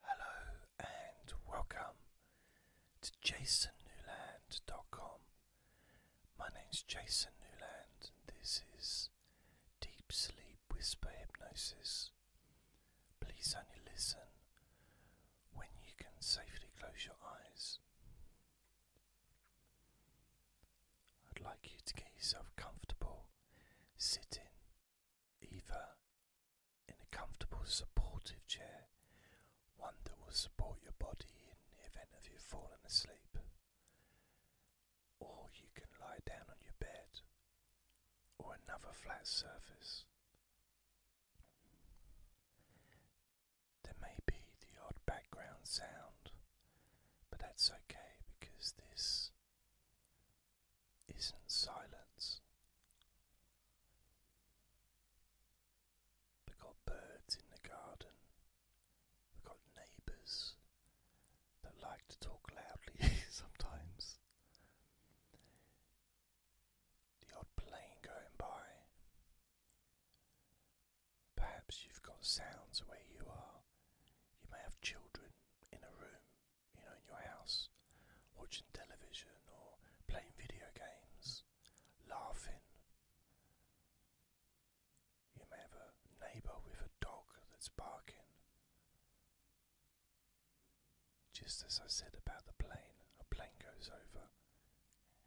Hello and welcome to jasonnewland.com. My name's Jason Newland and this is Deep Sleep Whisper Hypnosis. Please only listen when you can safely close your eyes. I'd like you to get yourself comfortable sitting either in a comfortable, supportive chair, one that will support your body in the event of you falling asleep. Or you can lie down on your bed or another flat surface. There may be the odd background sound, but that's okay because this isn't silence. We've got birds in the garden, we've got neighbours that like to talk loudly sometimes, the odd plane going by. Perhaps you've got sounds where you are. You may have children in a room you know, in your house, watching television or playing video games, laughing. You may have a neighbour with a dog that's barking. Just as I said about the plane, a plane goes over.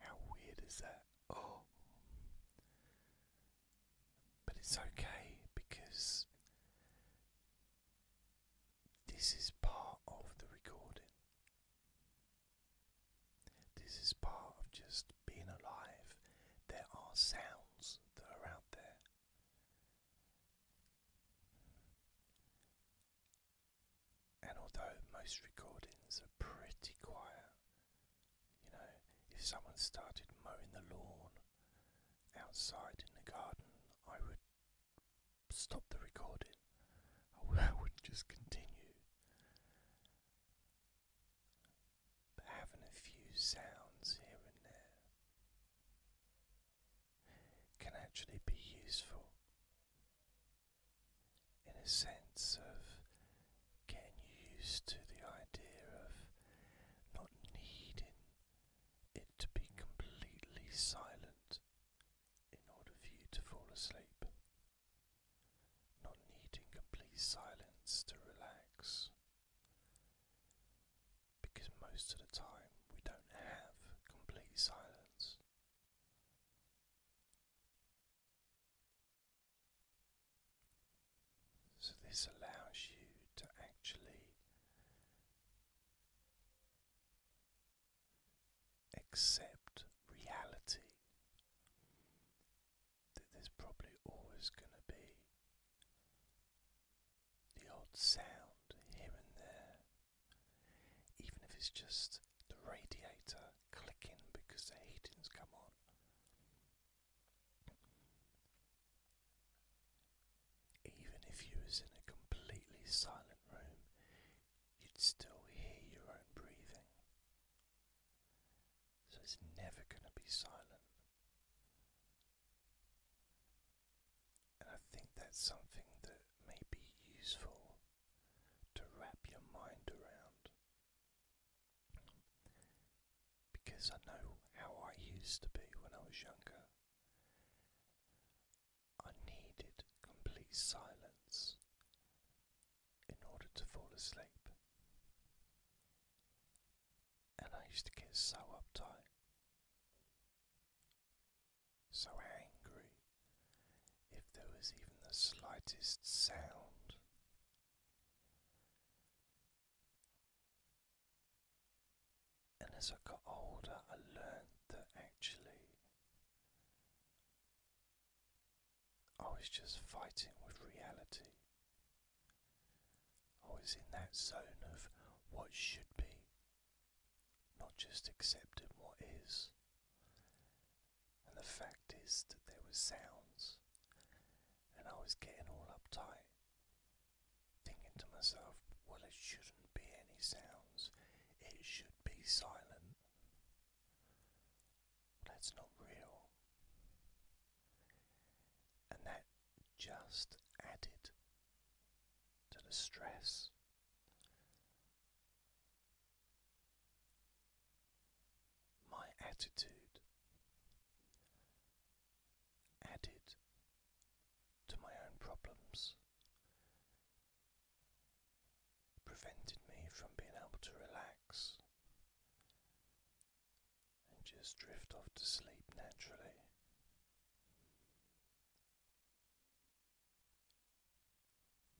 How weird is that? Oh! But it's okay because this is part of the recording. This is part of just being alive. There are sounds that are out there. And although most recordings are pretty quiet, you know, if someone started mowing the lawn outside in the garden, I would stop the recording. I would just continue. having a few sounds here and there can actually be useful in a sense of getting used to the idea of not needing it to be completely silent in order for you to fall asleep. Not needing complete silence to relax. Because most of the time we don't have complete silence. So, this allows you to actually accept reality that there's probably always going to be the odd sound here and there, even if it's just the radiator clicking because the heating's come on. Even if you was in a completely silent room, you'd still hear your own breathing. So it's never going to be silent. And I think that's something that may be useful to wrap your mind around. Because I know how I used to be when I was younger. I needed complete silence in order to fall asleep. And I used to get so uptight, so angry, if there was even the slightest sound. And as I got older, I learned that actually I was just fighting with reality. I was in that zone of what should be, not just accepting what is. And the fact is that there were sounds, and I was getting all uptight thinking to myself, well, it shouldn't be any sounds, it should be silent. That's not real. And that just added to the stress. My attitude added to my own problems, prevented me from being able to relax and just drift off to sleep naturally.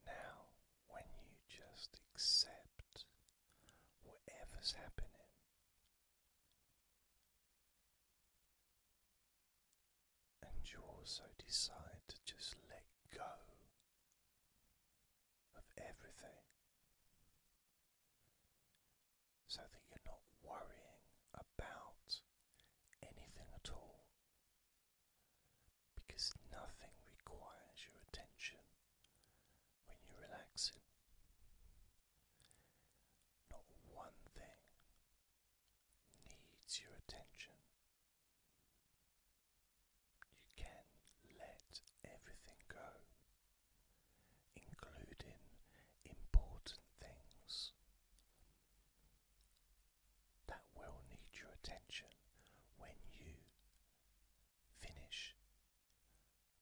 Now, when you just accept whatever's happening, and you also decide to just let go of everything so that you're not worrying about anything at all because nothing requires your attention when you're relaxing. Not one thing needs your attention. You can let everything go, including important things that will need your attention when you finish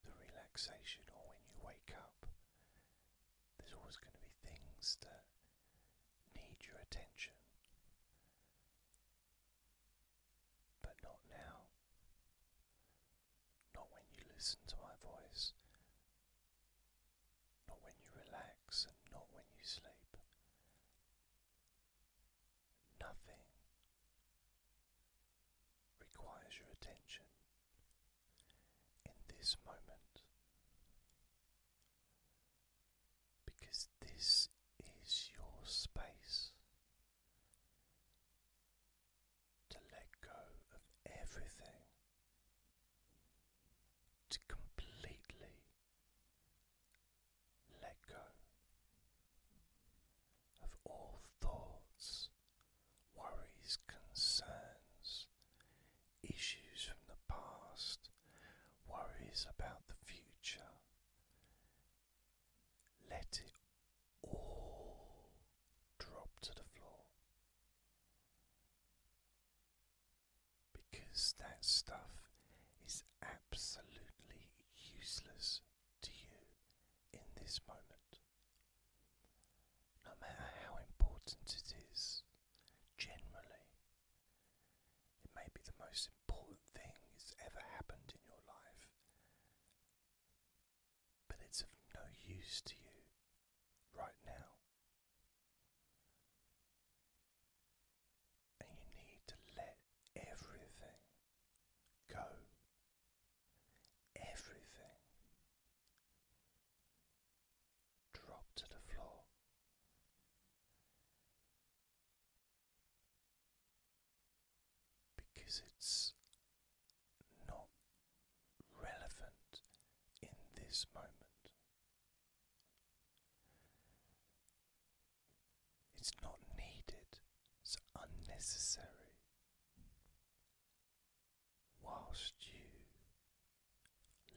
the relaxation or when you wake up. There's always going to be things that need your attention, but not now, not when you listen to my voice, not when you relax, and not when you sleep. Nothing requires your attention in this moment because this is your space to let go of everything, to completely let go of all thoughts, worries, concerns, issues from the past, worries about the future. Let it all drop to the floor. Because that stuff is absolutely useless to you in this moment. No matter how important it is, generally. It may be the most important thing that's ever happened in your life, but it's of no use to you right now. And you need to let everything go. Everything drop to the floor. Because it's not relevant in this moment. It's not needed, it's unnecessary whilst you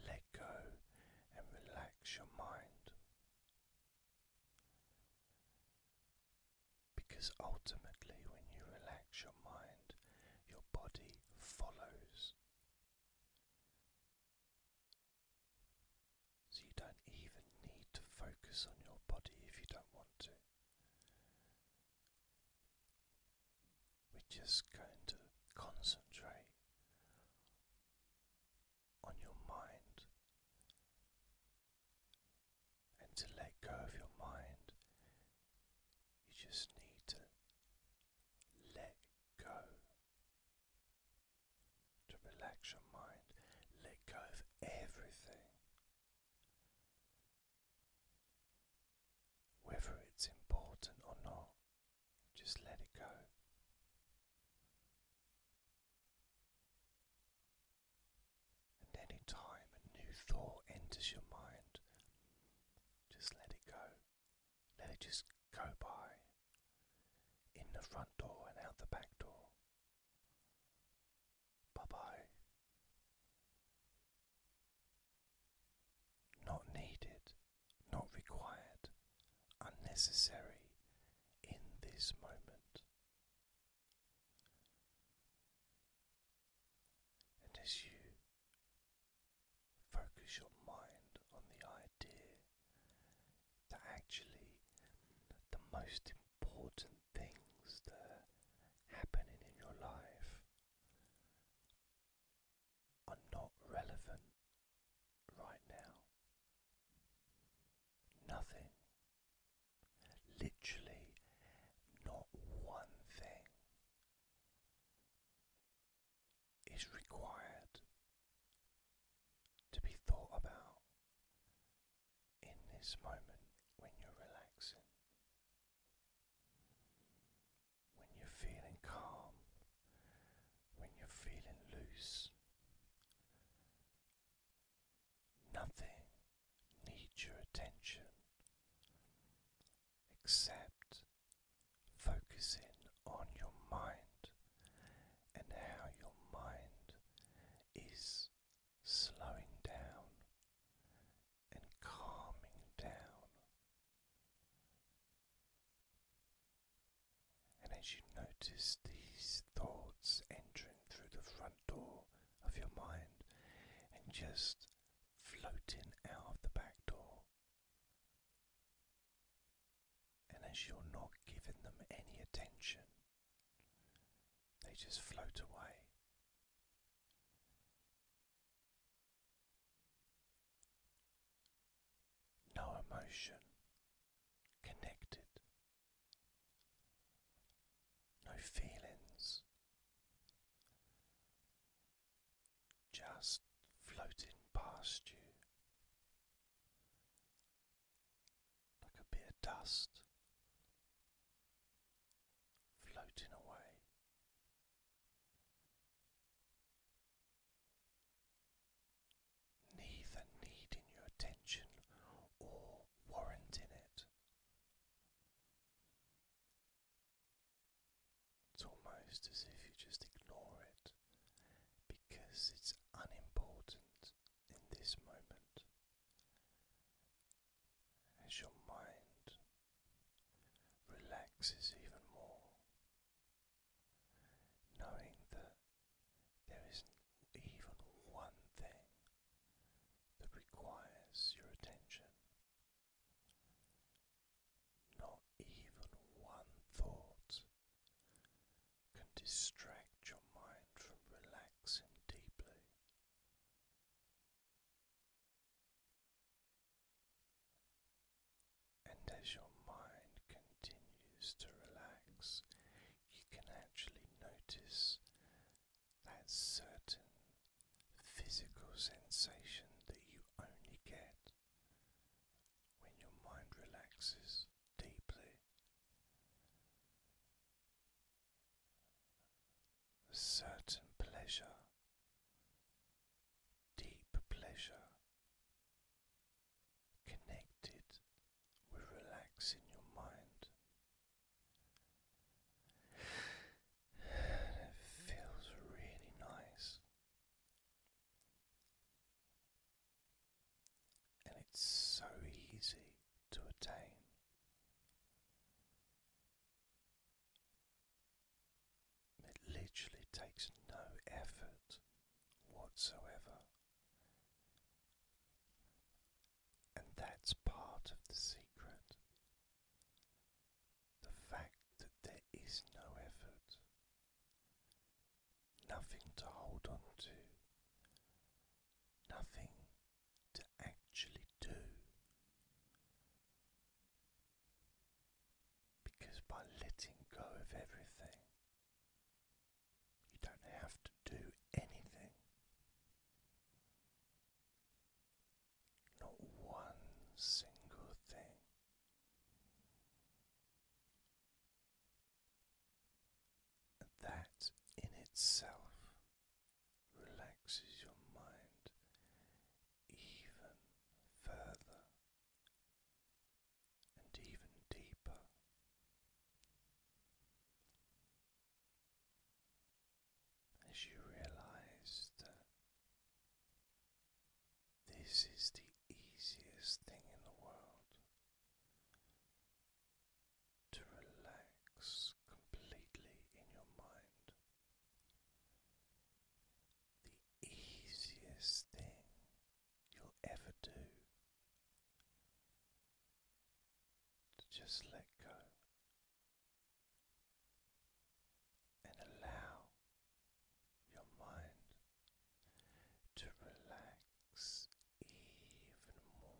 let go and relax your mind. Because ultimately, when you relax your mind, your body follows. So you don't even need to focus on your body if you don't want to. We're just going to concentrate on your mind and to let go of your mind, you just need to let go. To relax your mind, let go of everything. Whether it's important or not, just let it go. And any time a new thought enters your mind, just let it go. Let it just go by. In the front door and out the back door. Bye bye not needed, not required, unnecessary in this moment. And as you focus your mind on the idea that actually the most important things that are happening in your life are not relevant right now. Nothing. Literally, not one thing is required to be thought about in this moment when you're relaxing when you're feeling calm, when you're feeling loose. Nothing needs your attention except focusing on your mind and how your mind is slowing down and calming down. And as you notice these thoughts entering through the front door of your mind and just floating out of the back door, and as you're not giving them any attention, they just float away no emotion connected, no feelings, just floating past you like a bit of dust floating away neither needing your attention or warranting it. It's almost as if you just ignore it because it's unimportant in this moment as your mind relaxes even more knowing that there isn't even one thing that requires your attention, not even one thought can distract your mind from relaxing deeply. And as your mind continues to relax, you can actually notice that certain physical sensation that you only get when your mind relaxes deeply. A certain pleasure deep pleasure connected with relaxing your mind. it feels really nice. And it's so easy to attain. It literally takes no effort whatsoever. And that's part of the secret. The fact that there is no effort, nothing to hold on to, nothing to actually do. Because by letting go of everything, you don't have to do anything. Not one single thing. And that in itself relaxes your mind even further and even deeper. As you realize that this is the easiest thing in the world to relax completely in your mind, easiest thing you'll ever do to just let go and allow your mind to relax even more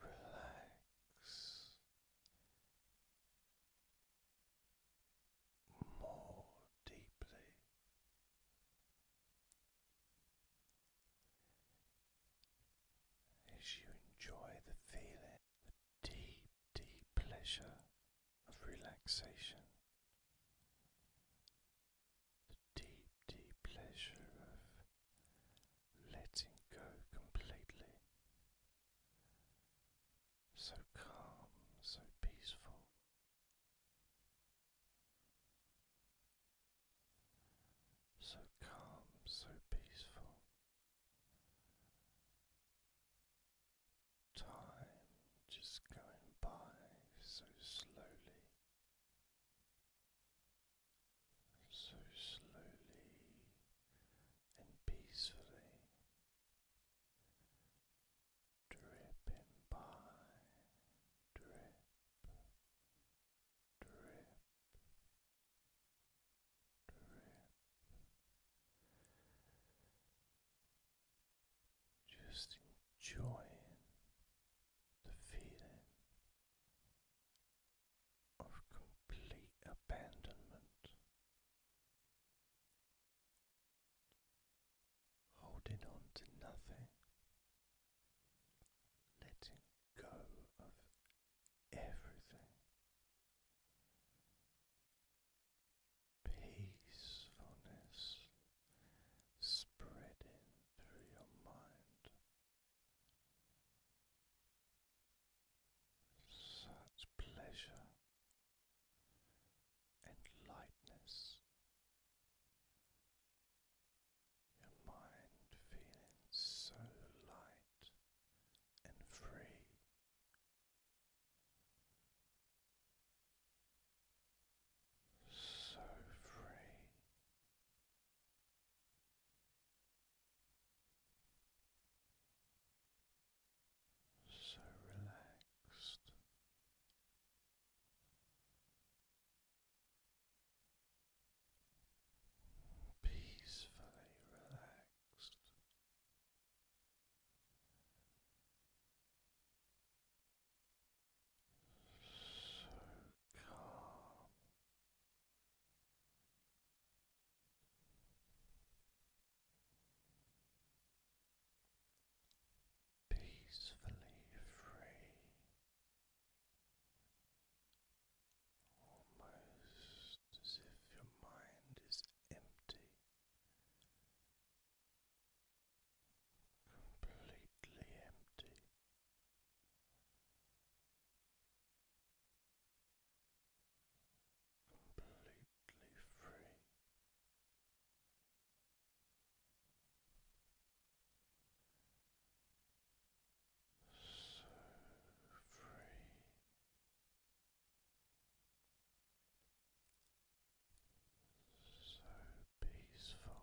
relax more deeply. As you enjoy the feeling, the deep, deep pleasure of relaxation, the deep, deep pleasure of letting go completely. So calm, so peaceful. So calm, so peaceful. Time just going by so slowly so slowly and peacefully dripping by drip drip drip just enjoying the feeling of complete abandonment, holding on to nothing, letting go of everything. Peacefulness spreading through your mind, such pleasure and lightness, your mind feeling so light and free. So free, so relaxed. Peacefully relaxed, so calm, peacefully free, almost as if your mind is empty. Completely empty, completely free. So free. So peaceful,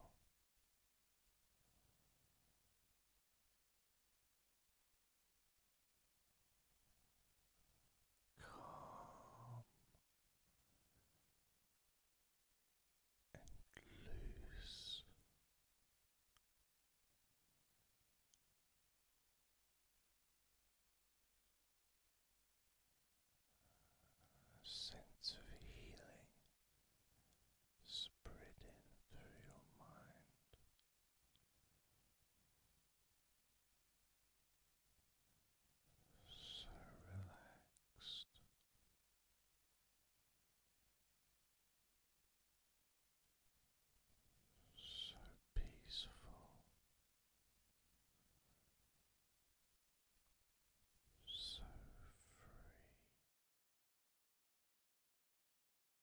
Calm and loose. A sense of healing spreading through your mind so relaxed. So peaceful, so free,